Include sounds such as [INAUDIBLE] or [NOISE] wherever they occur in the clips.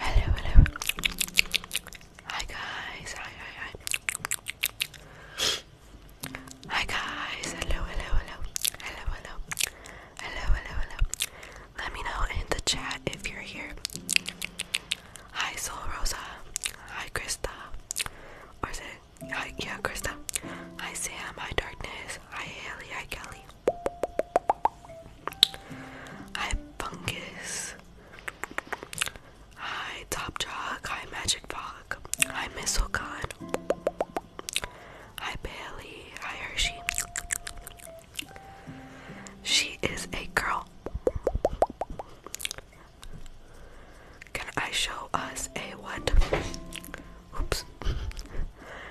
Hello, hello. Hi guys. Hi, hi, hi. Hi guys. Hello, hello, hello. Hello, hello. Hello, hello, hello. Let me know in the chat if you're here. Hi Soul Rosa. Hi Krista. Or is it Hi, yeah, Krista. Hi, Sam. Hi, Darkness. Hi, Haley. Hi, Kelly. Hi, Fungus. Hi, Top Jog. Hi, Magic Fog. Hi, Mistlecon. Hi, Bailey. Hi, Hershey. She is a girl. Can I show us a what? Oops.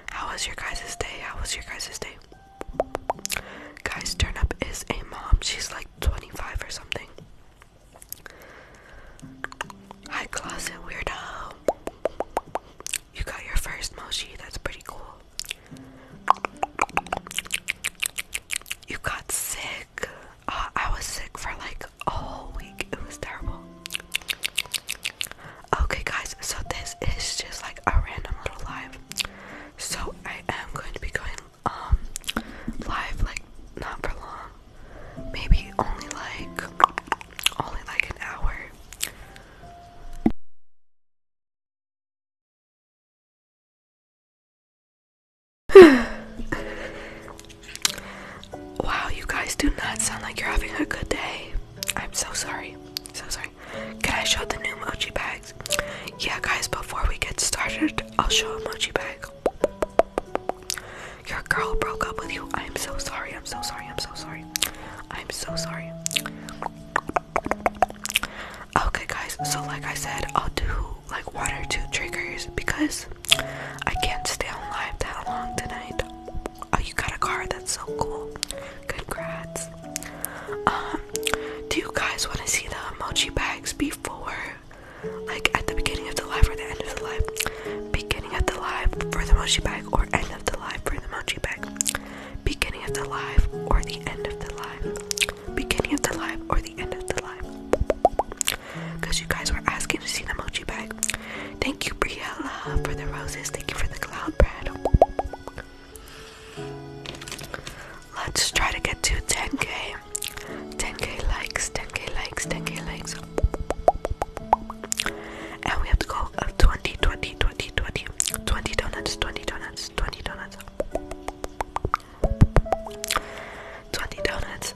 How was your guys' day? How was your guys' day? Guys, turn up is a mom. She's like 25 or something. Hi, closet weirdo. You got your first mochi. That's pretty cool. You got sick. Uh, I was sick for like the week. It was terrible. Okay, guys, so this is just like a random little live. So I am going to be going um live like not for long. Maybe only like only like an hour. [SIGHS] wow, you guys do not sound like you're having a good day. I'm so sorry. So sorry. Can I show the new mochi bags? Yeah, guys, before we get started, I'll show a mochi bag. Your girl broke up with you. I'm so sorry. I'm so sorry. I'm so sorry. I'm so sorry. Okay, guys, so like I said, I'll do like one or two triggers because I can't stay on live that long tonight. Oh, you got a car, that's so cool. Congrats. Um, do you guys want to see the emoji bags before? Like at the beginning of the live or the end of the live? Beginning of the live for the emoji bag or end of the live for the emoji bag? Beginning of the live or the end of the live? Beginning of the live or the end of the live? because you guys were asking to see the mochi bag. Thank you, Briella, for the roses. Thank you for the cloud bread. Let's try to get to 10k. 10k likes, 10k likes, 10k likes. And we have to go 20, 20, 20, 20, 20 donuts, 20 donuts, 20 donuts. 20 donuts.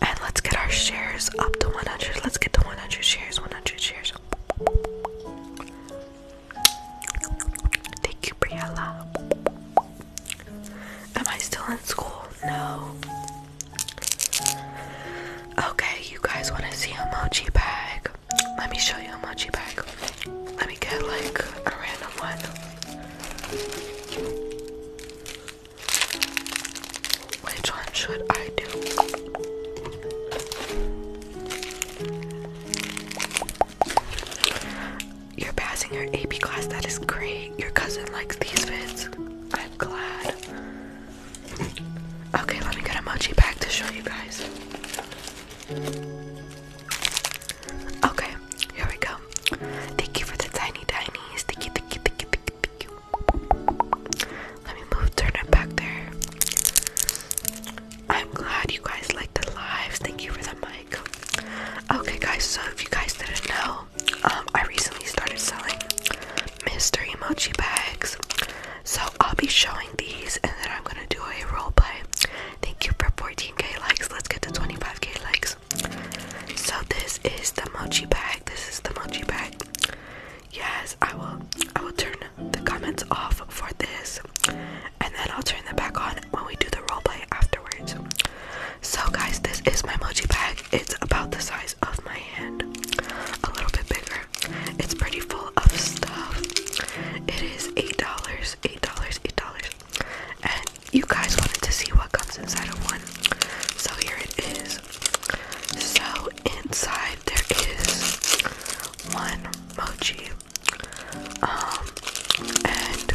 And let's get our shares up to 100. Let's get to 100 shares. 100 shares. Thank you, Briella. Am I still in school? No. Okay, you guys want to see emoji bag? Let me show you emoji bag. Let me get like a random one. Which one should I do? You're passing your AP class, that is great. Your cousin likes these vids. I'm glad. [LAUGHS] Okay, let me get a mochi pack to show you guys. Okay, Okay, here we go. Thank you for the tiny tinies. Thank you, thank you, thank you, thank you, thank you. Let me move, turn it back there. I'm glad you guys liked the lives. Thank you for the mic. Okay, guys, so if you guys didn't know, um, I recently started selling mystery emoji bags. So I'll be showing these and then I'm gonna do a role play. Thank you for 14k likes. Let's get to 25k likes. So this is the mochi bag. This is the mochi bag. Yes, I will I will turn the comments off for this and then I'll turn them back on when we do the role play afterwards. So guys, this is my mochi bag. It's about the size of my hand. A little bit bigger. It's pretty full of stuff. It is eight dollars, eight dollars, eight dollars you guys wanted to see what comes inside of one. So here it is. So inside there is one mochi. Um and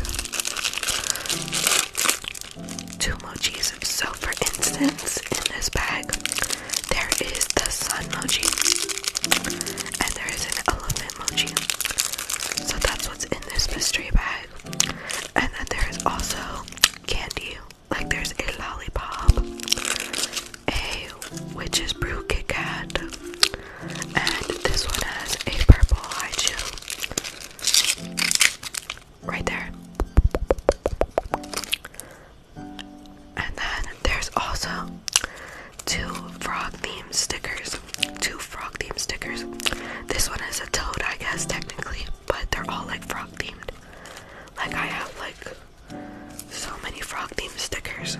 two mochis. So for instance, in this bag there is the sun mochi and there is an elephant mochi. So that's what's in this mystery bag. And then there is also candy. Like there's a lollipop, a witch's brew Kit Kat, and this one has a purple Haichu. Right there. And then there's also two frog themed stickers. Two frogs. Theme stickers. This one is a toad, I guess, technically, but they're all like frog themed. Like, I have like so many frog themed stickers.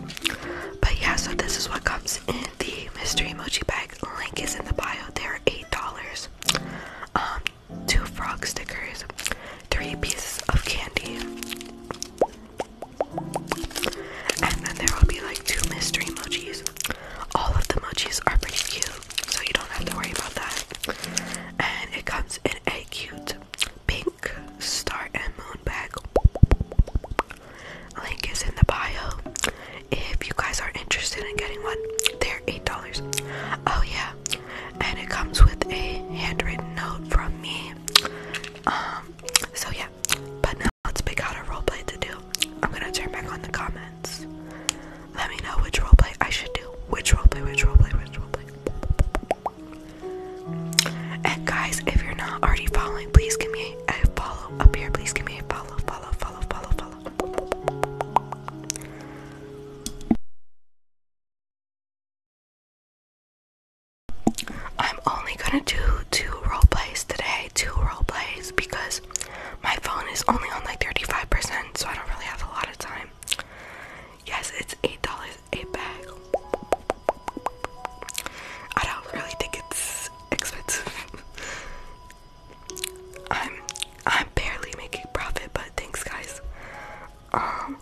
But yeah, so this is what comes in the mystery emoji bag. Link is in the bio. They're $8. Um, two frog stickers, three pieces of candy. And then there will be like two mystery emojis. All of the munchies are pretty cute, so you don't have to worry about that. And it comes in a cute pink star and moon bag. Link is in the bio. If you guys are interested in getting one, they're eight dollars. Oh yeah, and it comes with a handwritten note from me. Um, so yeah, but now let's pick out a role play to do. I'm gonna turn back on the comments. Let me know which roleplay I should do. Which roleplay, which roleplay, which roleplay. And guys, if you're not already following, please give me a follow up here. Please give me a follow, follow, follow, follow, follow. I'm only gonna do two role plays today, two role plays because my phone is only on like 35%, so I don't really have a lot of time. Yes, it's $8 a bag. I don't really think it's expensive. [LAUGHS] I'm I'm barely making profit, but thanks guys. Um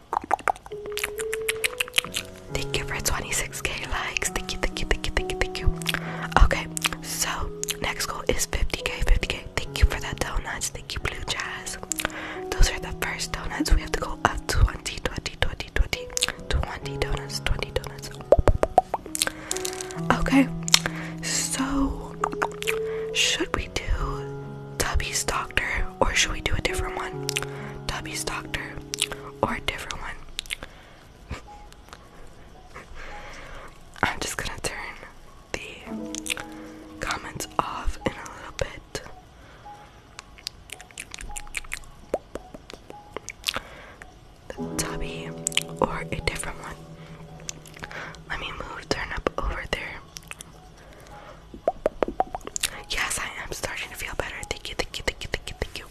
Thank you for 26k likes. Thank you, thank you, thank you, thank you, thank you. Okay, so next goal is 50k, 50k, Thank you for that donuts. Thank you, Blue Jazz. Those are the first donuts. We have to go up 20, 20, 20, 20, 20 donuts, 20 donuts. Okay, so should we do Tubby's Doctor or should we do a different one? Tubby's Doctor or a different one? [LAUGHS] I'm just gonna turn the comments off in a little bit. The tubby or a different one. Let me move, turn up over there. Yes, I am starting to feel better. Thank you, thank you, thank you, thank you, thank you.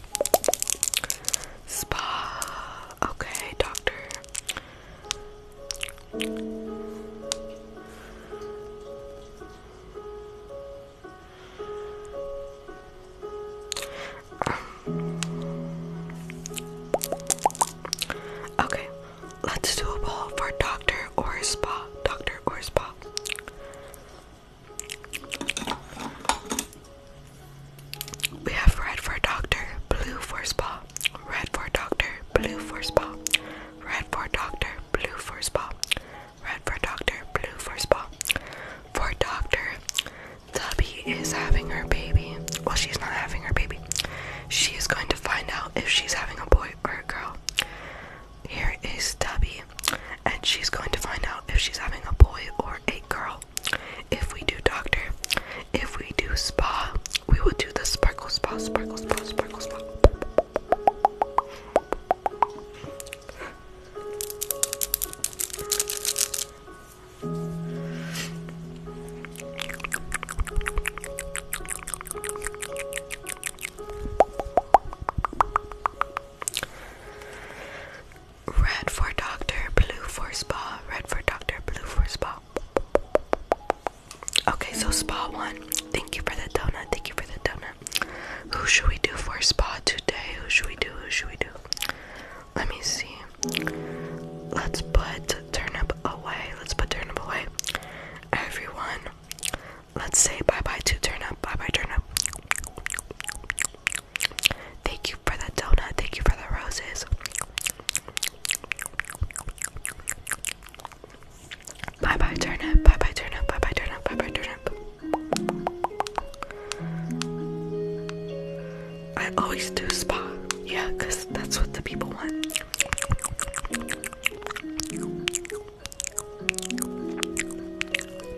Spa. Okay, doctor. Okay, let's do a poll for doctor or spa. Doctor or spa. We have red for doctor, blue for spa, red for doctor, blue for spa, red for doctor, blue for spa, red for doctor, blue for spa. For doctor, Tubby is having her baby. Well, she's not having her baby. She is going to find out if she's having a boy or a girl. Here is Tubby, and she's going to find out if she's having a boy or a girl. If we do doctor, if we do spa, we will do the sparkle spa, sparkle spa, sparkle spa. Red for doctor, blue for spa, red for doctor, blue for spa. Okay, so spa one. Thank you for the donut. Thank you for the donut. Who should we do for spa today? Who should we do? Who should we do? Let me see. Let's put turnip away. Let's put turnip away. Everyone, let's say bye bye to turnip. Bye bye turnip. Thank you for the donut. Thank you for the roses. Bye bye turnip, bye bye turnip, bye bye turnip, bye bye turnip. I always do spa, yeah, because that's what the people want.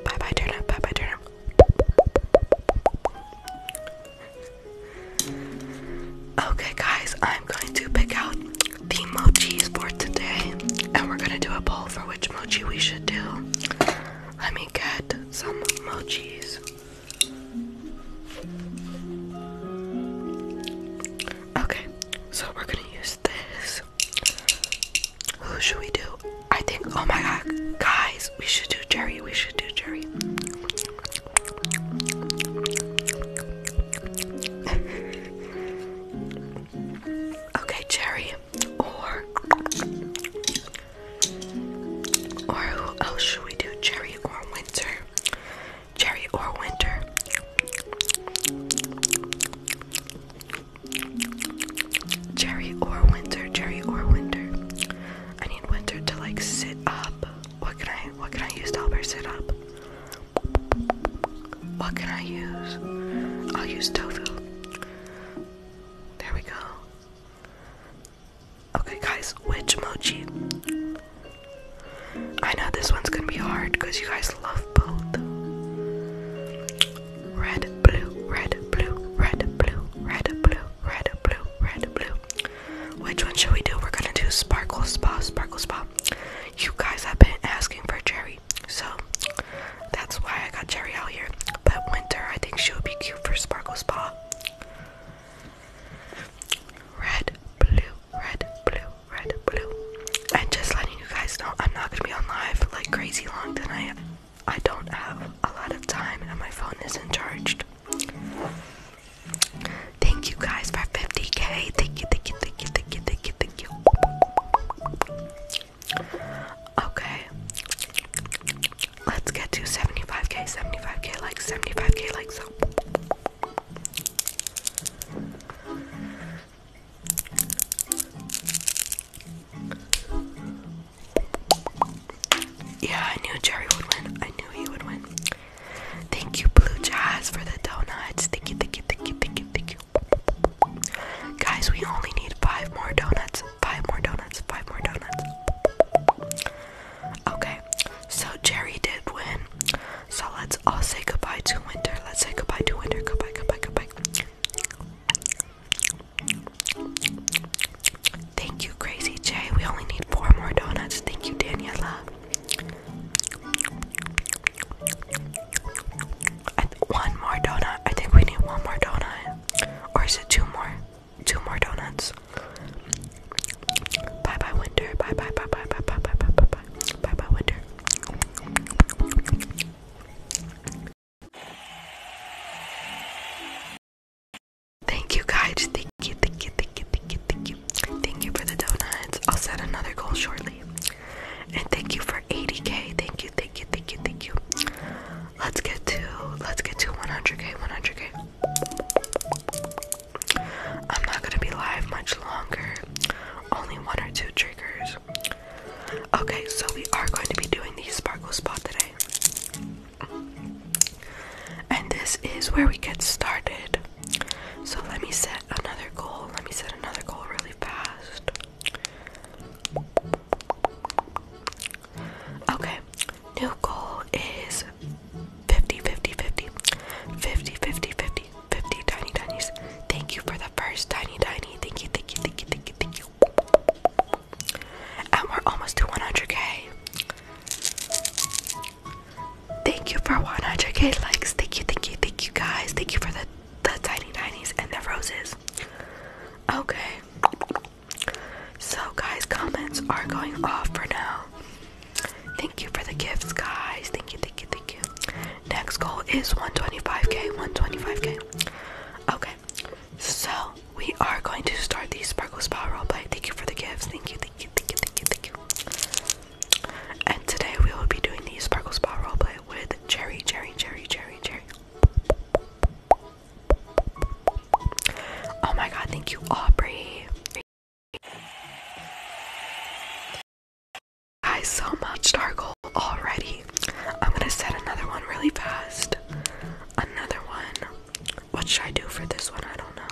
Bye bye turnip, bye bye turnip. Okay, guys, I'm going to pick out the mochis for today, and we're gonna do a poll for which mochi we should do. Let me get some mochis. Okay, so we're gonna use this. Who should we do? I think, oh my god, guys, we should do Jerry. We should do Jerry okay, cherry. Or or who else should we do? Cherry or winter? Cherry or winter? Cherry or winter? Cherry or winter? I need winter to like sit up. What can I what can I use to help her sit up? What can I use? I'll use tofu. There we go. Okay guys, which emoji? I know this one's gonna be hard because you guys love both. Red, blue, red, blue, red, blue, red, blue, red, blue, red, blue, which one should we do? We're gonna do Sparkle Spa, Sparkle Spa. You guys have been asking for Jerry, so that's why I got Jerry out here. But Winter, I think she would be cute for Sparkle Spa. Red, blue, red, blue, red, blue. And just letting you guys know, I'm not gonna be on live like crazy long tonight. I don't have a lot of time and my phone isn't charged. Thank you guys for 50k. Thank you, thank you, thank you, thank you, thank you, thank you. Okay. Let's get to 75k, 75k likes, 75k likes. Yeah, I knew Jerry would win. I knew he would win. Thank you, Blue Jazz, for the donuts. Thank you, thank you, thank you, thank you, thank you. Guys, we only need five more donuts. Five more donuts. Five more donuts. Okay, so Jerry did win. So let's all say goodbye to winter. Let's say goodbye to winter. Goodbye, goodbye, goodbye. Thank you, Crazy J. We only need four more donuts. Thank you, Daniela. one more donut. I think we need one more donut. Or is it two more? Two more donuts. Bye bye, winter. Bye bye, bye bye, bye bye, bye bye, bye bye. Bye bye, winter. Thank you guys. Thank you, thank you, thank you, thank you, thank you. Thank you for the donuts. I'll set another goal shortly. And thank you for 80k. Thank you, thank you, thank you, thank you. Let's get to let's get to 100k, 100k. I'm not gonna be live much longer. Only one or two triggers. Okay, so we are going to be doing the sparkle spot today. And this is where we get started. So let me set another goal. Let me set another goal really fast. Okay, new goal is 50 50 50 50 50 50 50 tiny tinies. Thank you for the first tiny tiny. Thank you, thank you, thank you, thank you, thank you. And we're almost to 100k. Thank you for 100k likes. Thank you, thank you, thank you guys. Thank you for the the tiny tinies and the roses. Okay. So guys, comments are going off for now. Thank you for the gifts, guys. Thank you, thank you, thank you. Next goal is 125k, 125k. Okay. So we are going to start the sparkle spa roleplay. Thank you for the gifts. Thank you. Thank and today we will be doing the Sparkle Spa roleplay with Cherry, Cherry, Cherry, Cherry, Cherry. Oh my god, thank you, Aubrey. Guys, so much Darkle already. I'm gonna set another one really fast. Another one. What should I do for this one? I don't know.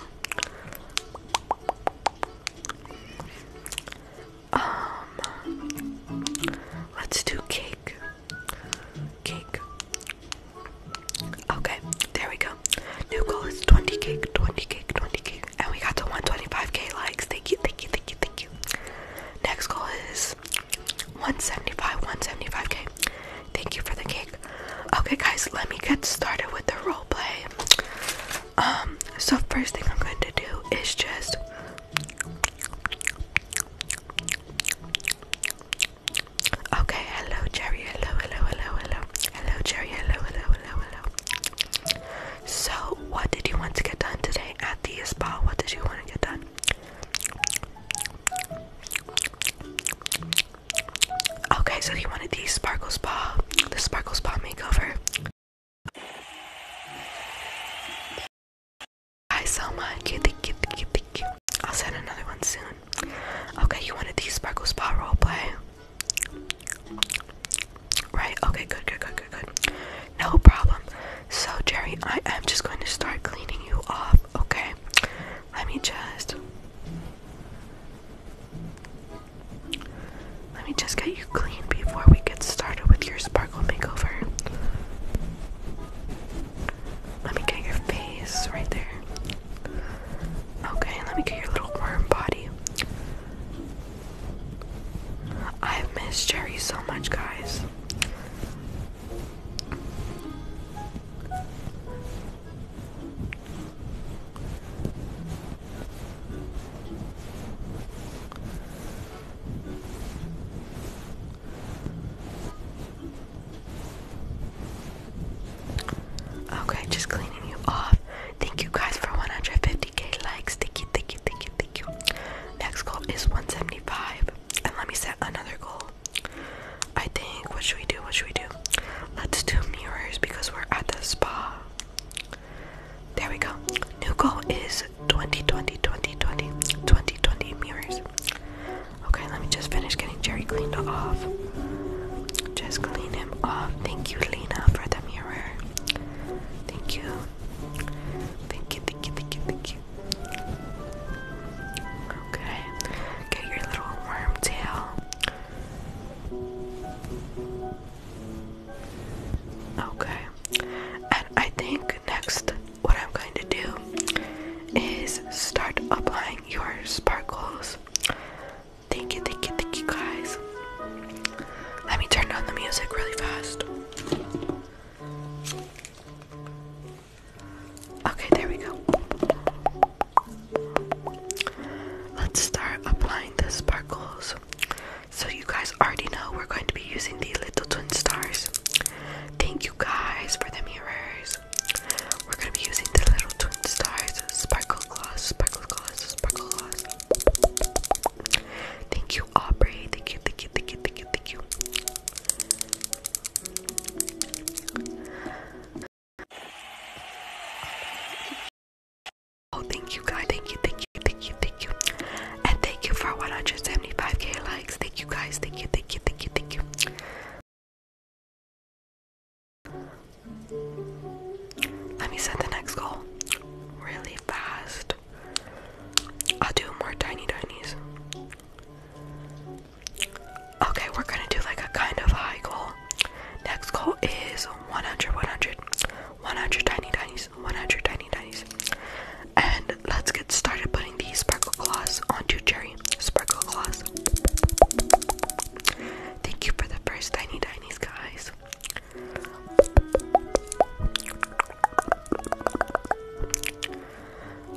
Um, let's do cake. Cake. Okay, there we go. New goal is 20 cake, 20 cake, 20 cake, and we got to 125k likes. Thank you, thank you, thank you, thank you. Next goal is 175, 175k. Thank you for the cake. Okay, guys, let me get started with the roleplay. Um, so first thing I'm going to do is just Okay, hello Jerry, hello, hello, hello, hello. Hello Jerry, hello, hello, hello, hello. So what did you want to get done today at the spa? What did you want to get done? Okay, so he wanted the Sparkle Spa, the Sparkle Spa makeover. Hi, Selma. Cute, I'll send another one soon. Okay, you wanted the Sparkle Spa play, Right, okay, good, good, good, good, good. No problem. So, Jerry, I am just going to start cleaning you off, okay? Let me just. Let me just get you clean before we get started with your sparkle makeover. Let me get your face right there. Okay, let me get your little worm body. I've Jerry so much, guys. Okay, just cleaning you off. Thank you guys for 150k likes. Thank you, thank you, thank you, thank you. Next goal is 175. And let me set another goal. I think what should we do? What should we do? Let's do mirrors because we're at the spa. There we go. New goal is 2020, 2020, 2020 mirrors. Okay, let me just finish getting Jerry cleaned off. Just clean him off. Thank you, Lena, for the mirror. Thank you. Thank you, thank you, thank you, thank you. Okay, get your little worm tail. Okay, and I think next, what I'm going to do is start applying your sparkles. Thank you, thank you, thank you, guys. Let me turn on the music really fast. Okay, there we go. Let's start applying the sparkles. So you guys already know we're going to be using the little twin stars. Thank you guys for the mirrors. We're gonna be using the little twin stars sparkle gloss, sparkle gloss, sparkle gloss. Thank you, Aubrey. Thank you, thank you, thank you, thank you, thank you. Oh, thank you, guys. Thank you, thank you, thank you, thank you. And thank you for 175k likes. Thank you, guys. Thank you, thank you, thank you, thank you. Let me set the next goal really fast. I'll do more tiny tinies. Okay, we're gonna do like a kind of high goal. Next goal is 100, 100, 100 tiny tinies, 100 tiny tinies. And let's get started putting the sparkle gloss onto Cherry. Sparkle gloss. Thank you for the first tiny tinies, guys.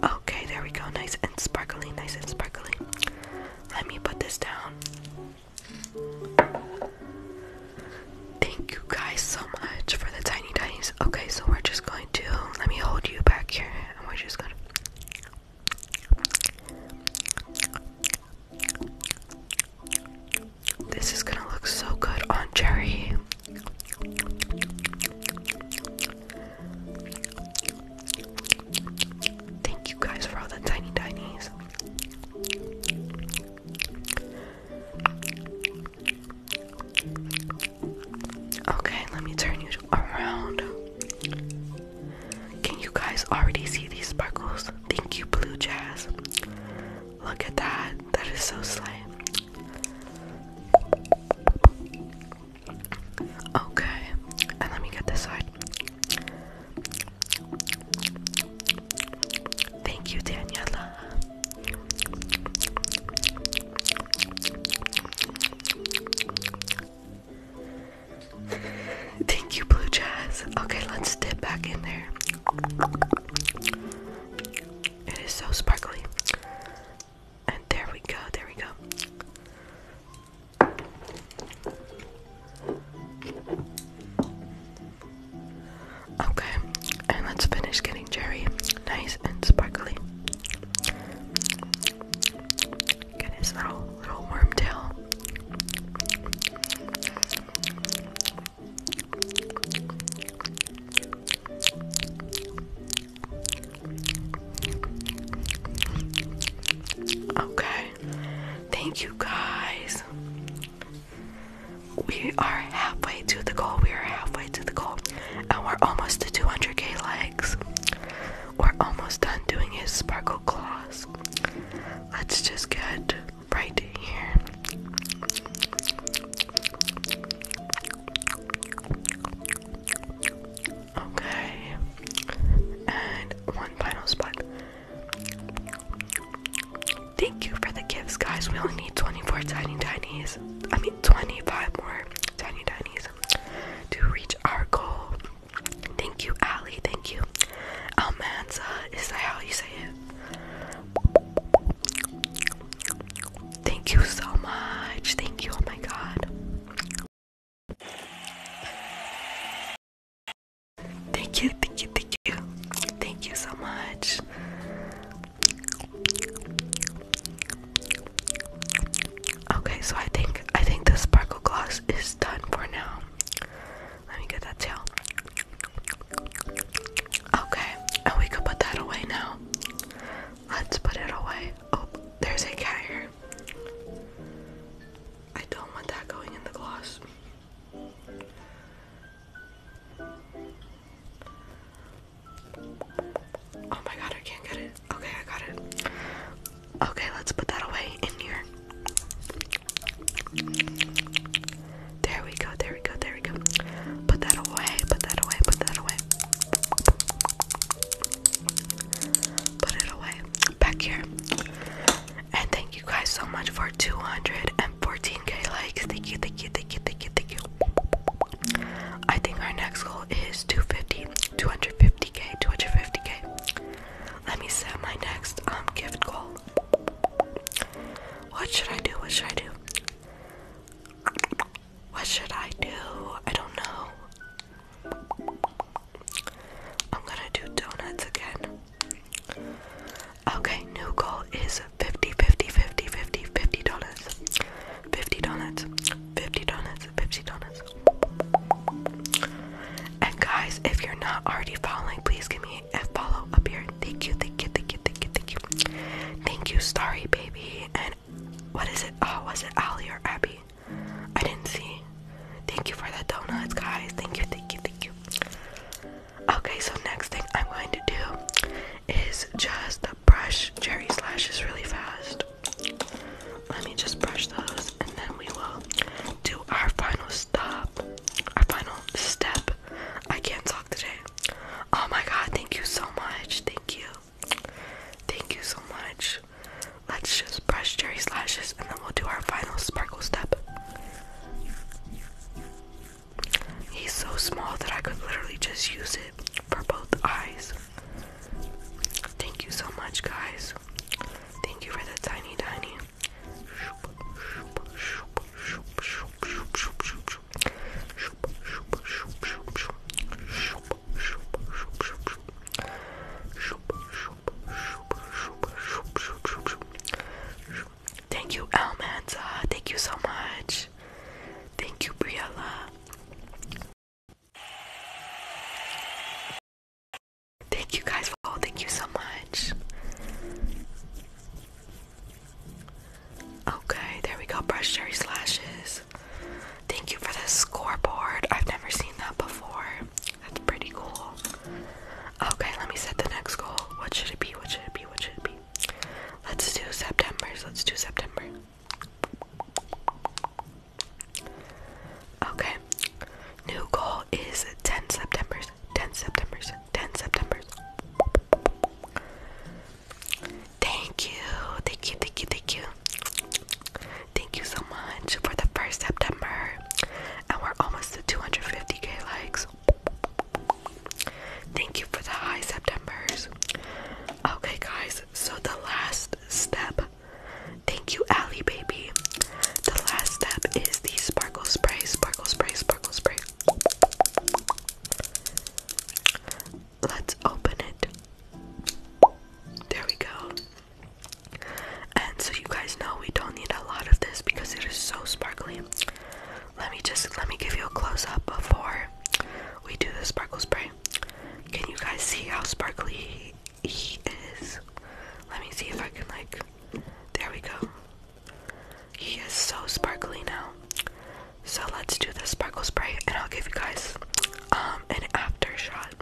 Okay, there we go. Nice and sparkly, nice and sparkly. Let me put this down. Thank you guys so much for the tiny tinies. Okay, so we're just going to let me hold you back here and we're just gonna This is gonna look so good on Jerry. Thank you guys for all the tiny tinies. Okay, let me turn you around. Can you guys already see these sparkles? Thank you, Blue Jazz. Look at that. That is so slay. Okay, and let me get this side. Thank you, Daniela. Thank you, Blue Jazz. Okay, let's dip back in there. It is so sparkly. And there we go, there we go. Okay, and let's finish getting cherry nice and sparkly. Get his little little worm tail. Okay, Thank you guys. We are halfway to the goal. We are halfway to the goal. And we're almost to 200k likes. We're almost done doing his sparkle claws. Let's just get right here. Okay. And one final spot. Thank you for the gifts, guys. We only need 24 tiny tinies. I mean, 25 more tiny tinies to reach our goal. Thank you, Ali. Thank you. Almanza, is that how you say it? Thank you so much. Thank you. Oh my god. Thank you, thank you, thank you. Thank you so much. Okay, so I think I think the sparkle gloss is done for now. Let me get that tail. Okay, and we could put that away now. Let's put it away. Oh, there's a cat here. I don't want that going in the gloss. Oh my god, I can't get it. Okay, I got it. Okay, let's put that away in here. There we go, there we go, there we go. Put that away, put that away, put that away. Put it away back here. And thank you guys so much for 214k likes. Thank you, thank you, thank you, thank you, thank you. I think our next goal is 250, 250k, 250k. Let me set my next um, gift goal. What should I do? What should I do? What should I do? I don't know. I'm gonna do donuts again. Okay, new goal is 50, 50, 50, 50, 50 dollars. 50 donuts, 50 donuts, 50 donuts. And guys, if you're not already following, please give me a follow up here. Thank you, thank you, thank you, thank you, thank you. Thank you, Starry Baby. And what is it? Oh, was it Ali or Abby? I didn't see. Thank you for the donuts, guys. Thank you, thank you, thank you. Okay, so next thing I'm going to do is just brush cherry slashes really fast. Let me just brush those and then we will do our final stop, our final step. I can't talk today. Oh my god, thank you so much. Thank you. Thank you so much. Let's just brush Jerry's lashes and then we'll do our final sparkle step. He's so small that I could literally just use it for both eyes. Thank you so much, guys. Thank you for the tiny, tiny. Thank you, Almanza. Thank you so much. Thank you, Briella. Thank you guys for all. Thank you so much. Okay, there we go. Brush cherry slashes. Thank you for the scoreboard. I've never seen that before. That's pretty cool. Okay, let me set the next goal. What should it be? What should it be? What should it be? Let's do September's. Let's do September. Okay. New goal is 10 September's. 10 September's. 10 September's. Thank you. Thank you. Thank you. Thank you. Thank you so much for the first September. And we're almost to 250k likes. Thank you for the high Septembers. Okay, guys, so the last step. Thank you, Allie Baby. The last step is the sparkle spray, sparkle spray, sparkle spray. Let's open it. There we go. And so you guys know we don't need a lot of this because it is so sparkly. Let me just let me give you a close up before we do the sparkle spray. Can you guys see how sparkly he, is? Let me see if I can like there we go. He is so sparkly now. So let's do the sparkle spray and I'll give you guys um, an after shot.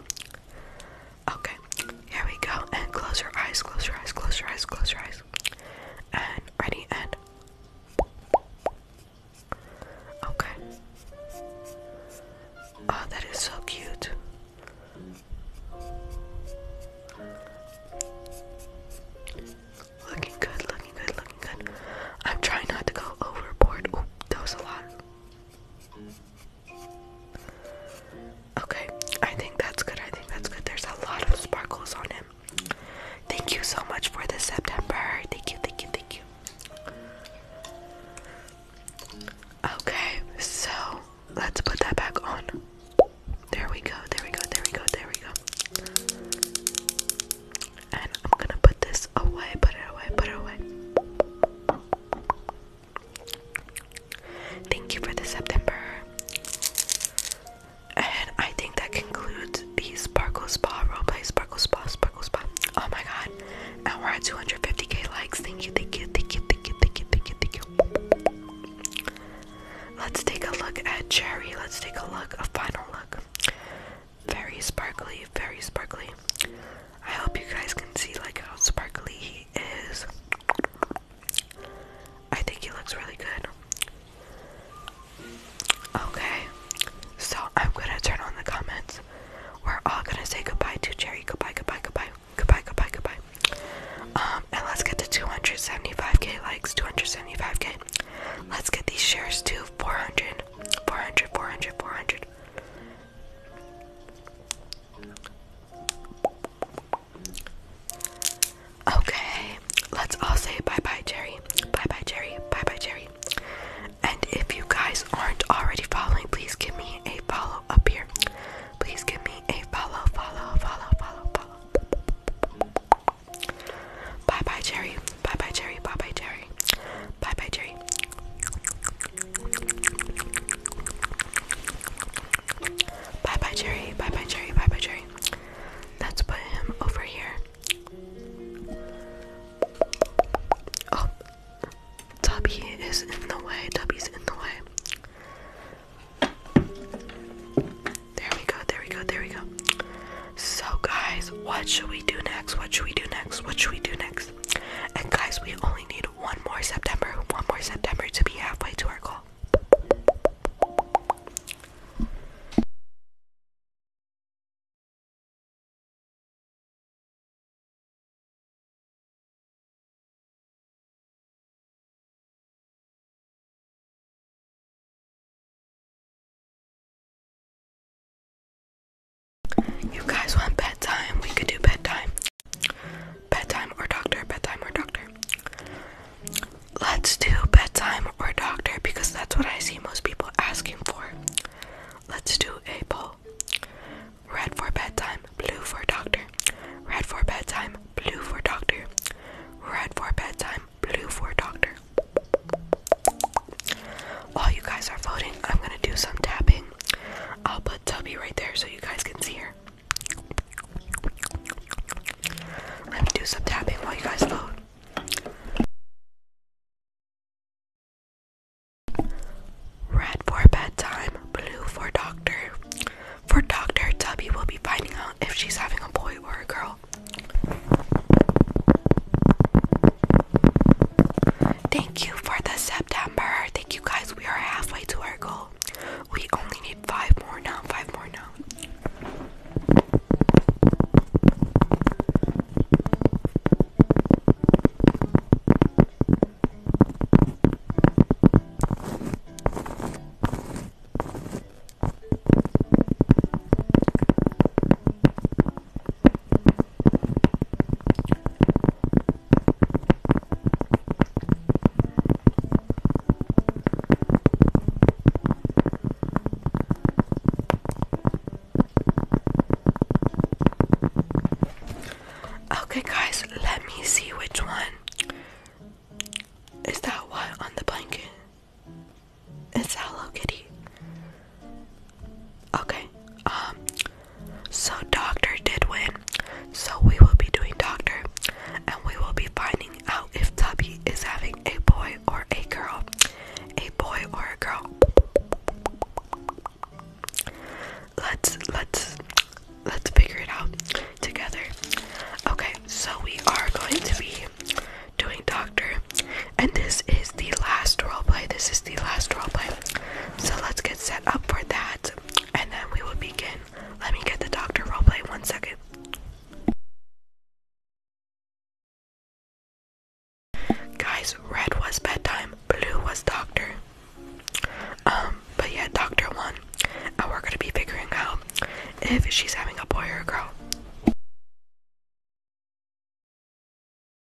Okay, here we go. And close your eyes, close your eyes, close your eyes, close your eyes. And ready and Okay. Oh, that is so cute. Looking good, looking good, looking good. I'm trying not to go overboard. Oh, that was a lot. Okay, I think that's good. I think that's good. There's a lot of sparkles on him. Thank you so much for this September. Thank you, thank you, thank you. Okay, so let's put that back on. There we go, there we go, there we go, there we go. And I'm gonna put this away, put it away, put it away. Thank you for the September. And I think that concludes these Sparkle Spa roleplay. Sparkle Spa, Sparkle Spa. Oh my god. And we're at 250k likes. Thank you, thank you, thank you, thank you, thank you, thank you, thank you. Let's take a look at Cherry. Let's take a look, a final look. Very sparkly, very sparkly. I hope you guys can see like how sparkly he is. I think he looks really good. Okay, so I'm gonna turn on the comments. We're all gonna say goodbye to Cherry. Goodbye, goodbye, goodbye, goodbye, goodbye, goodbye. Um, and let's get to 275k likes, 275k. Let's get these shares to 400, 400, 400, 400. Okay, let's all say bye bye, Jerry. Bye bye, Jerry. Bye bye, Jerry. And if you guys aren't already following, please give me a follow up here. Please give me a follow, follow, follow, follow, follow. Bye bye, Jerry. Bye bye, Jerry. Bye bye, Jerry. Bye bye, Jerry. Bye bye, Jerry. Bye bye, Jerry. Bye bye, Jerry. Let's put him over here. Oh, Tubby is in the way. Tubby's in the way. There we go. There we go. There we go. So, guys, what should we do next? What should we do next? What should we do next? And, guys, we only need one more September, one more September to be halfway to our goal. You guys want bedtime? We could do bedtime. Bedtime or doctor, bedtime or doctor. Let's do bedtime or doctor because that's what I see most people asking for. Let's do a poll. Red for bedtime, blue for doctor. Red for bedtime, blue for doctor. Red for bedtime, blue for doctor. While you guys are voting, I'm gonna do some tapping. I'll put that tubby right there so you guys can see her. Let me do some tapping while you guys vote. Red for bedtime, blue for doctor. For doctor, Tubby will be finding out if she's having a boy or a girl. Thank you for the September. Thank you guys we are halfway to our goal. We only need five more now, five more now. Okay, guys, let me see which one. Is that one on the blanket? It's Hello Kitty. Okay, um, so Doctor did win. So we will be doing Doctor and we will be finding out if Tubby is having a boy or a girl. A boy or a girl. Let's let's let's figure it out together. Okay, so we are going to be doing Doctor and this is the last roleplay. This is the last roleplay. So let's get set up for that and then we will begin. Let me get the doctor roleplay one second. Guys, red was bedtime, blue was doctor. Um, but yeah, doctor one. And we're gonna be figuring out if she's having a boy or a girl.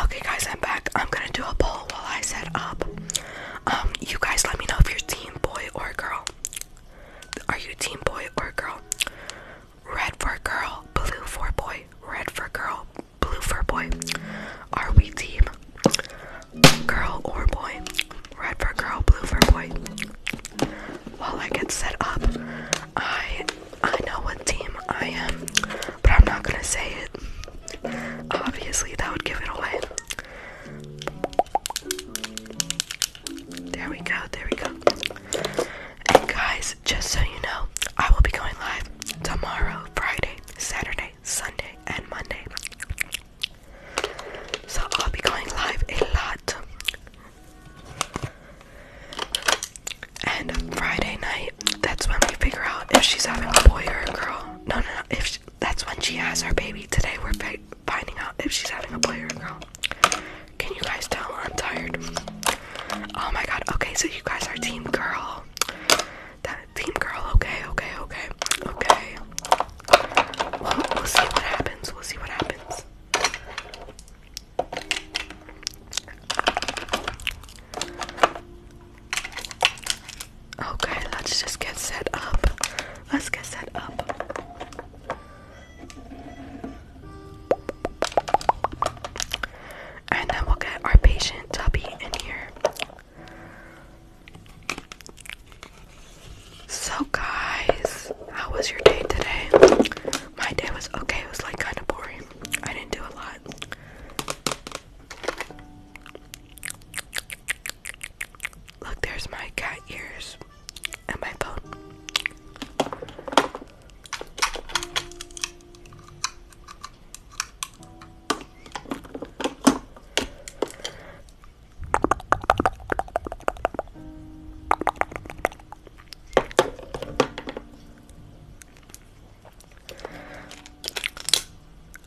Okay, guys, I'm back. I'm gonna do a poll while I set up. Um, you guys, let me know if you're team boy or girl. Are you team boy or girl? Red for girl, blue for boy. Red for girl, blue for boy. Are we team girl or boy? Red for girl, blue for boy. While I get set up, I I know what team I am, but I'm not gonna say it. Obviously, that would give it away. There we go, there we go. And guys, just so you know, I will be going live tomorrow, Friday, Saturday, Sunday, and Monday. So I'll be going live a lot. And Friday night, that's when we figure out if she's having a boy or a girl. No, no, no. If she, that's when she has her baby. Today we're finding out if she's having a boy or a girl. Can you guys tell? I'm tired. Oh my god. Okay, so you guys are team girl. team girl. Okay, okay, okay, okay. we'll see what happens. We'll see what happens. Okay, let's just get set up. Let's get set up. And then we'll get our patient tubby in here. So, guys, how was your day today? My day was okay, it was like kind of boring. I didn't do a lot. Look, there's my cat ears and my phone.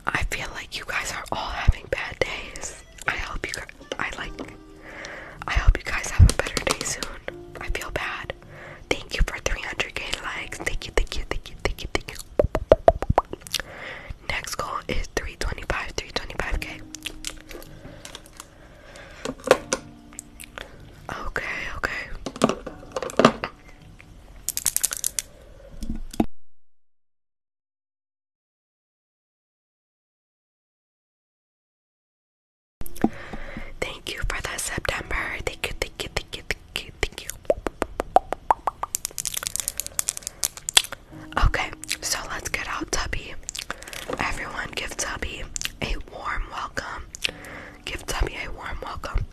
I feel like you guys are all having bad days. I hope you guys, I like, I hope you guys have a better day soon. I feel bad. Thank you for 300k likes. Thank you, thank you, thank you, thank you, thank you. Next goal is 325, 325k. Okay, okay. Thank you for the September. Thank you, thank you, thank you, thank you, thank you. Okay, so let's get out Tubby. Everyone give Tubby a warm welcome. Give Tummy a warm welcome.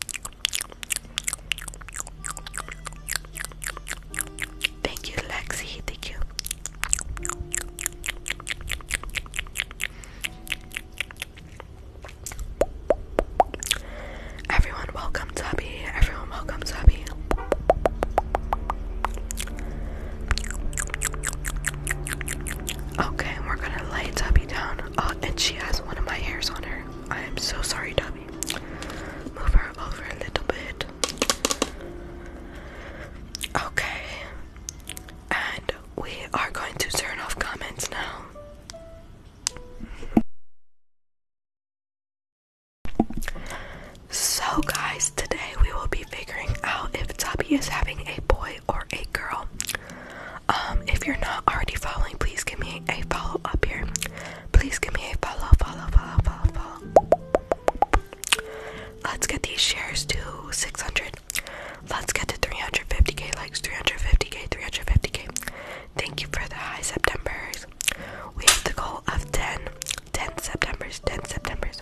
Thank you, Lexi. Thank you. Everyone, welcome, Tubby. Everyone, welcome, Tubby. Okay, we're gonna lay Tubby down. Oh, and she has one of my hairs on her. I am so sorry, Dobby. Move her over a little bit. Okay. And we are going to turn off comments now. So, guys, today we will be figuring out if Tubby is having a boy or a girl. Um, if you're not already following, please give me a follow up here. Please give me a follow, follow, follow, follow, follow. Let's get these shares to 600. Let's get to 350k likes, 350k, 350k. Thank you for the high Septembers. We have the goal of 10, 10 Septembers, 10 Septembers.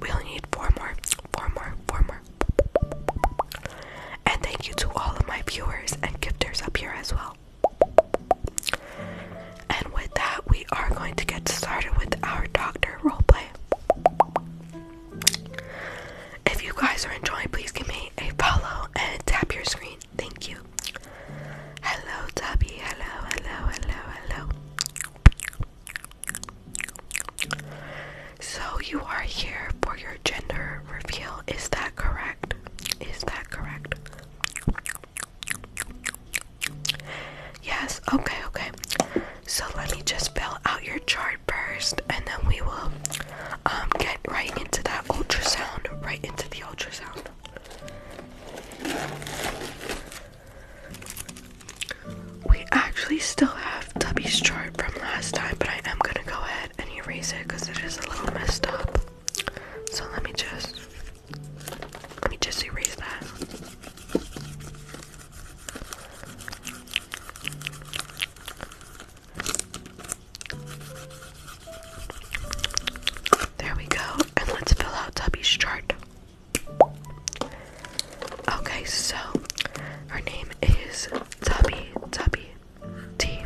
We only need four more, four more, four more summer. And thank you to all of my viewers and gifters up here as well. And with that, we are going to get started with our doctor roleplay. If you guys are enjoying, please give me a follow and tap your screen. Thank you. Hello, Tubby. Hello, hello, hello, hello. So you are here for your gender reveal. Is that correct? Is that correct? Yes. Okay, okay. So let me just fill out your chart first and then we will um get right into that ultrasound, right into the ultrasound. We actually still have Tubby's chart from last time, but I am gonna go ahead and erase it because it is a little messed up. So let me just let me just erase that. There we go, and let's fill out Tubby's chart. Okay, so her name is Tubby Tubby T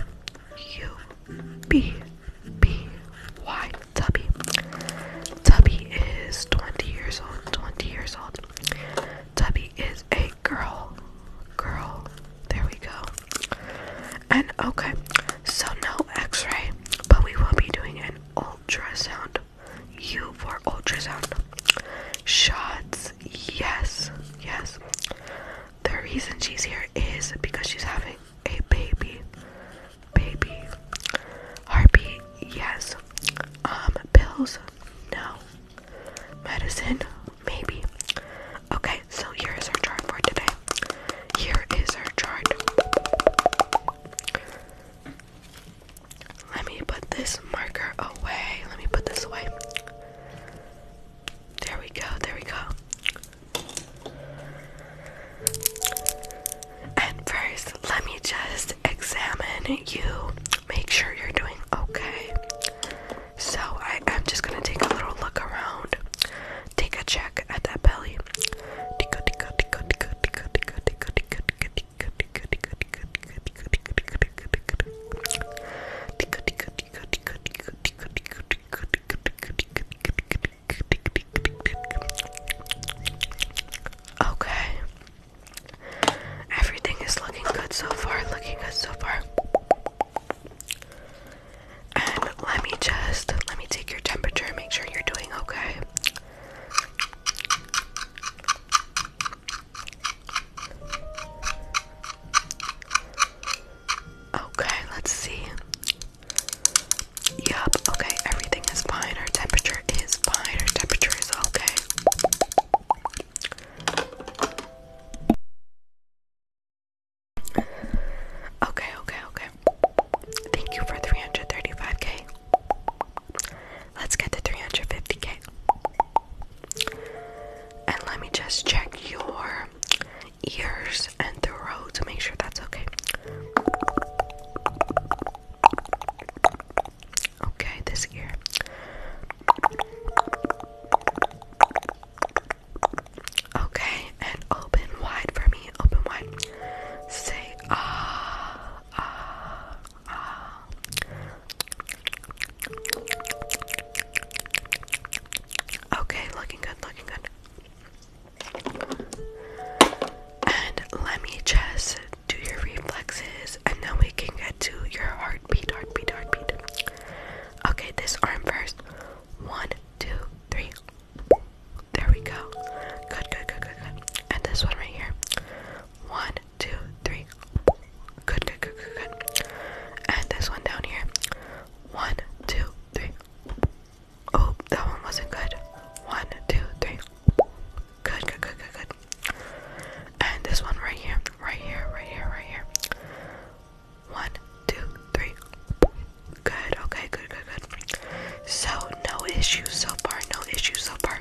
U B B Y Tubby. Tubby is 20 years old. 20 years old. Tubby is a girl. Girl. There we go. And okay, so no x-ray, but we will be doing an ultrasound. U for ultrasound. Shots yes, yes, The reason she's here is because she's having a baby. Baby. Heartbeat, yes. Um, pills, no. Medicine, maybe. Okay, so here is our chart for today. Here is our chart. Let me put this marker away. Let me put this away. There we go. There we go. And first, let me just examine you. Make sure you're doing okay. So, I am just gonna take a little look around. Take a check at that belly. Okay. Everything is looking good so far, looking good so far. And let me just let me take your temperature, make sure you're doing okay. Okay, let's see. Yup, okay, everything is fine. Our temperature is fine. Our temperature is okay. Okay, okay, okay. Thank you for 335k. Let's get the 350k. And let me just check your ears and throat to make sure that's okay. Okay, this ear. Okay, and open wide for me. Open wide. Say ah, ah. Ah. Okay, looking good, looking good. And let me just do your reflexes and then we can get to your heartbeat, heartbeat, heartbeat. Okay, this arm first. One, two, three. There we go. Good, good, good, good, good. And this one right here. One, two, three. Good, good, good, good, good. And this one down here. One, two, three. Oh, that one wasn't good. One, two, three. Good, good, good, good, good. And this one right here, right here, right here, right here. One, two, three. Good, okay, good, good, good. So, no issues so far, no issues so far.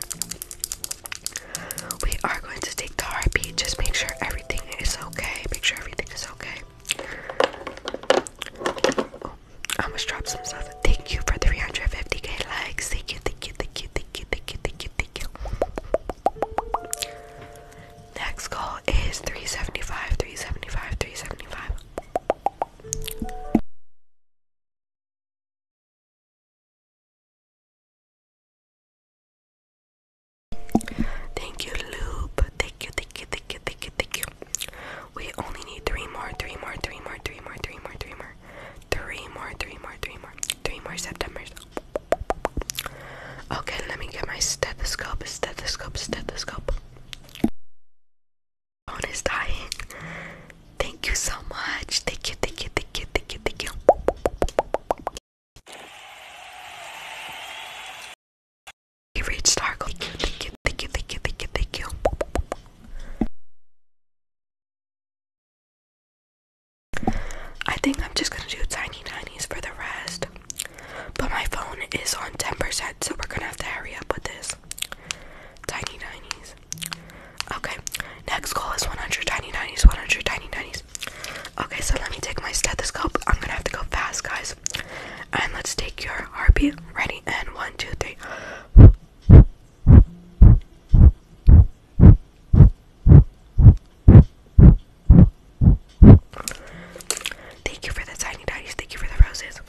We are going to take the heartbeat. Just make sure everything is okay. Make sure everything is okay. Oh, I almost dropped some stuff. Thank you for 350k likes. Thank you, thank you, thank you, thank you, thank you, thank you, thank you. Next goal is 375, 375, 375. Thank you, Loop. Thank you, thank you, thank you, thank you, thank you. We only need three more, three more, three more, three more, three more, three more, three more, three more, three more, three more September's. Okay, let me get my stethoscope, stethoscope, stethoscope. Phone is dying. Thank you so much. Thank you, thank you, thank you, thank you, thank you. We reached our Thank you, thank you, thank you, thank you, thank you, thank you. I think I'm just gonna do tiny tinies for the rest. But my phone is on 10%, so we're gonna have to hurry up with this. Tiny tinies. Okay, next goal is 100 tiny tinies, 100 tiny tinies. Okay, so let me take my stethoscope. I'm gonna have to go fast, guys. And let's take your heartbeat. Ready? And one, two, three. Thank you for the tiny daddies. Thank you for the roses.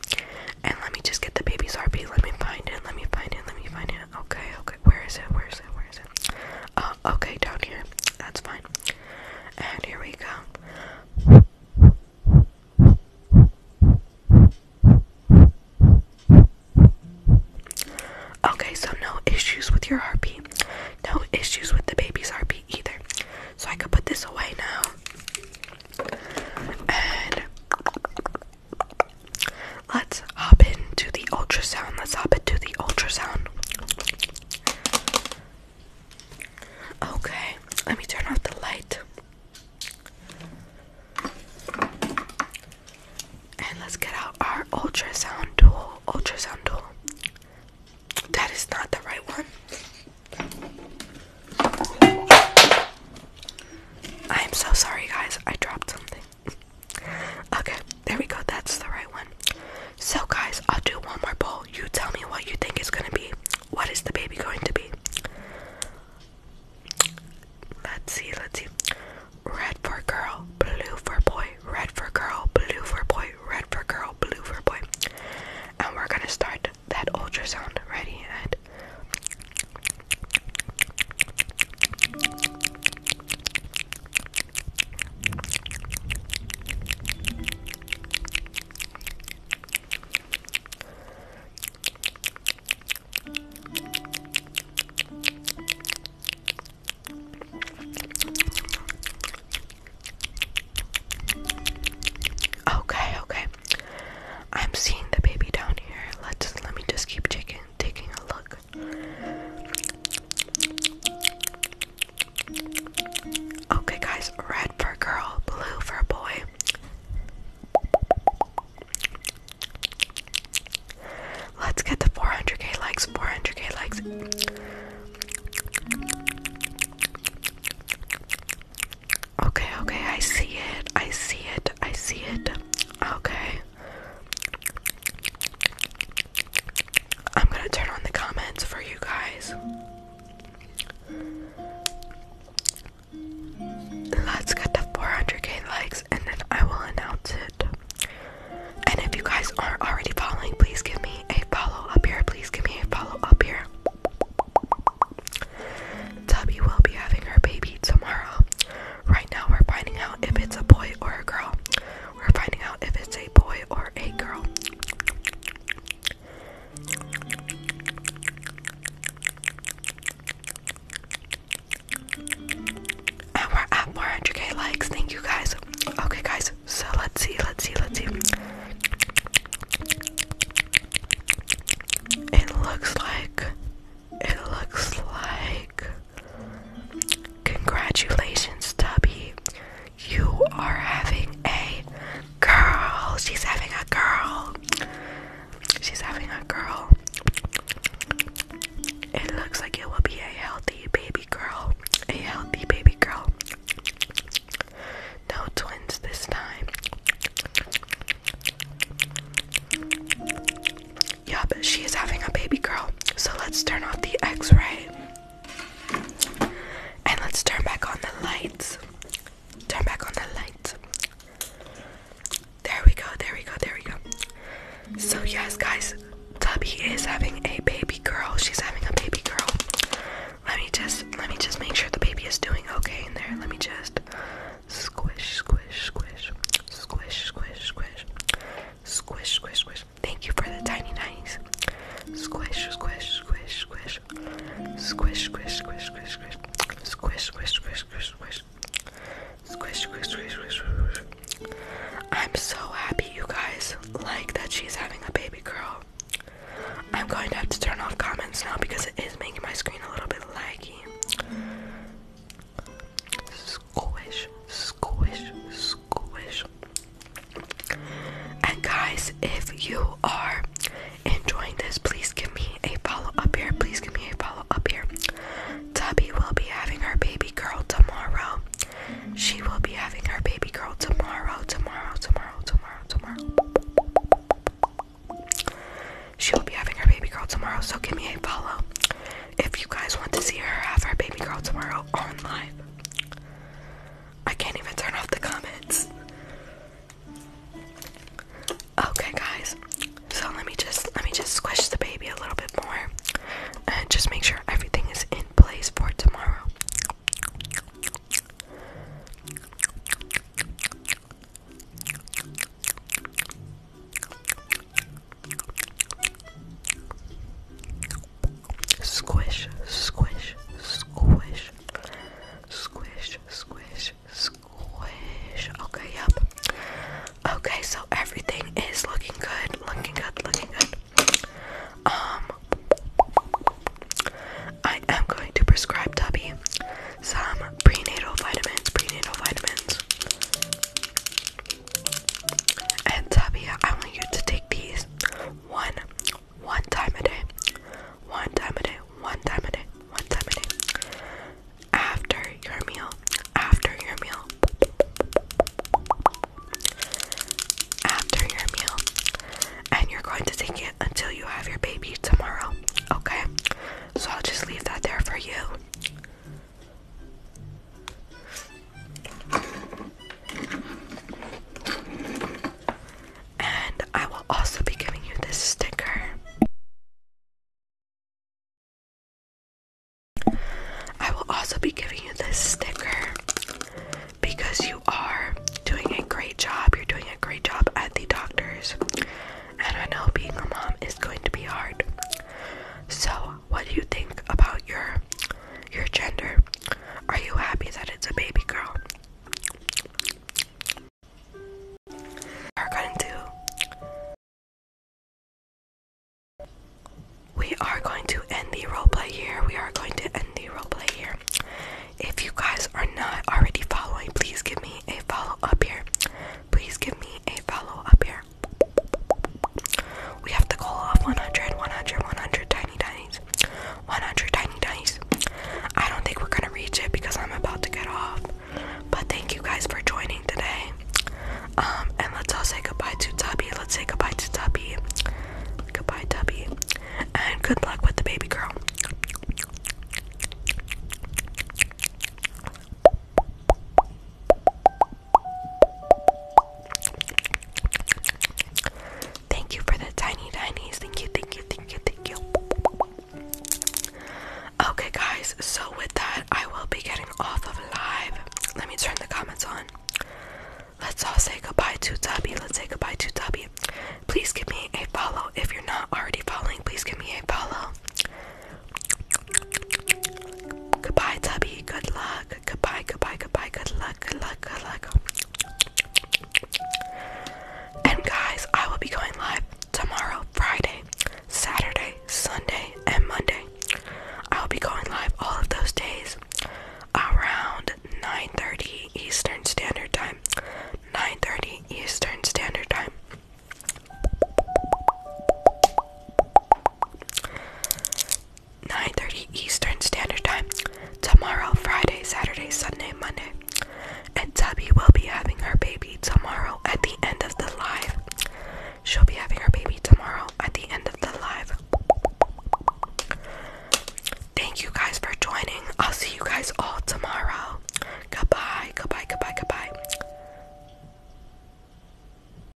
And let me just get the baby's heartbeat. Let me find it. Let me find it. Let me find it. Okay, okay. Where is it? Where is it? Where is it? Uh, okay, down here. That's fine. And here we go. Okay, so no issues with your heartbeat. No issues with the baby's heartbeat either. So I could put this away now. And Let's hop into the ultrasound. Let's hop into the ultrasound. Okay, let me turn off the light. And let's get out our ultrasound tool. Ultrasound tool. That is not the right one. I am so sorry, guys. I dropped something. Okay, there we go. That's the right one. So, guys, I'll do one more poll. You tell me what you think is gonna be. What is the baby going to be? Let's see, let's see. Red for girl, blue for boy, red for girl, blue for boy, red for girl, blue for boy. And we're gonna start that ultrasound. Ready? And. Okay, okay. I'm seeing the baby down here. Let's let me just keep taking taking a look. Okay, guys, red for girl, blue for boy. Let's get the 400k likes, 400k likes. Okay, okay, I see it, I see it, I see it. Okay. I'm gonna turn on the comments for you guys. Let's get to 400k likes and then I will announce it. And if you guys are already following, please give me a follow up here. Please give me a follow up here. Tubby will be having her baby tomorrow. Right now, we're finding out if it's a boy or a girl. We're finding out if it's a boy or a girl. And we're at 400k likes. Thank you guys. Okay, guys. So let's see, let's see, let's see. It looks like. It looks like. Congratulations, Tubby. You are having a girl. She's having a girl. She's having a girl. It looks like it will be a healthy baby girl. A healthy baby girl. No twins this time. Yeah, but she is having a baby girl. So let's turn off the x ray. And let's turn back on the lights. Turn back on the lights. There we go, there we go, there we go. So, yes, guys, Tubby is having a baby girl. She's having a baby girl. Let me just let me just make sure the baby is doing okay in there. Let me just squish, squish, squish, squish, squish, squish, squish, squish, squish, squish, squish. Thank you for the tiny nice. Squish, squish, squish, squish. Squish, squish, squish, squish, squish. Squish, squish, squish, squish, squish. Squish, squish, squish, squish, squish. I'm so happy you guys like that she's having a baby girl. I'm going to have to turn off comments now because it is making my screen a little bit laggy squish, squish, squish. And guys, if you are enjoying this, please give me a follow up here. Please give me a follow up here. Tubby will be having her baby girl tomorrow. She will be having her baby girl tomorrow, tomorrow, tomorrow, tomorrow, tomorrow. She will be having her baby girl tomorrow, so give me a follow. If you guys want to see her have her baby girl tomorrow on live, I can't even turn off the comments. Okay, guys. So let me just let me just squish the baby a little bit more, and just make sure everything is in place for tomorrow. Squish, squish, squish, squish, squish, squish. Okay, yep. Okay, so everything is looking good, looking good, looking good. Um, I am going to prescribe Tubby some prenatal vitamins, prenatal vitamins. And Tabia, I want you to take these one, one time a day, one time a day, one time a day, one time a day. After your meal, after your meal, after your meal, and you're going to take it until you have your baby tomorrow, okay? So I'll just leave that there for you. And I will also be giving you this sticker. I will also be giving you this sticker because you are doing a great job. You're doing a great job at the doctor's. And I know being a mom is going to be hard. So what do you think about your your gender? Are you happy that it's a baby girl? Are going to we are going to end the roleplay here. We are going to end the roleplay here. If you guys are not already following, please give me a follow up here. Please give me a follow up here. We have to call off 100, 100, 100 tiny tinies. 100 tiny tinies. I don't think we're gonna reach it because I'm about to get off. But thank you guys for joining today. Um, and let's all say goodbye to Tubby. Let's say goodbye to Tubby. Goodbye, Tubby. And good luck with the baby girl. Thank you for the tiny tinies. Thank you, thank you, thank you, thank you. Okay, guys, so with that, I will be getting off of live. Let me turn the comments on. Let's all say goodbye to Tubby. Let's say goodbye to Tubby. Please give me a follow. If you're not already following, please give me a follow. Goodbye, Tubby. Good luck luck. Goodbye, goodbye, goodbye. Good luck, good luck, good luck. And guys, I will be going live tomorrow, Friday, Saturday, Sunday, and Monday. I will be going live all of those days around 9:30 Eastern Standard Time. 9:30 Eastern Standard Time. 9:30 Eastern Standard Time tomorrow, Friday, Saturday, Sunday, Monday. And Tubby will be having her baby tomorrow at the end of the live. She'll be having her baby tomorrow at the end of the live. Thank you guys for joining. I'll see you guys all tomorrow. Goodbye, goodbye, goodbye, goodbye.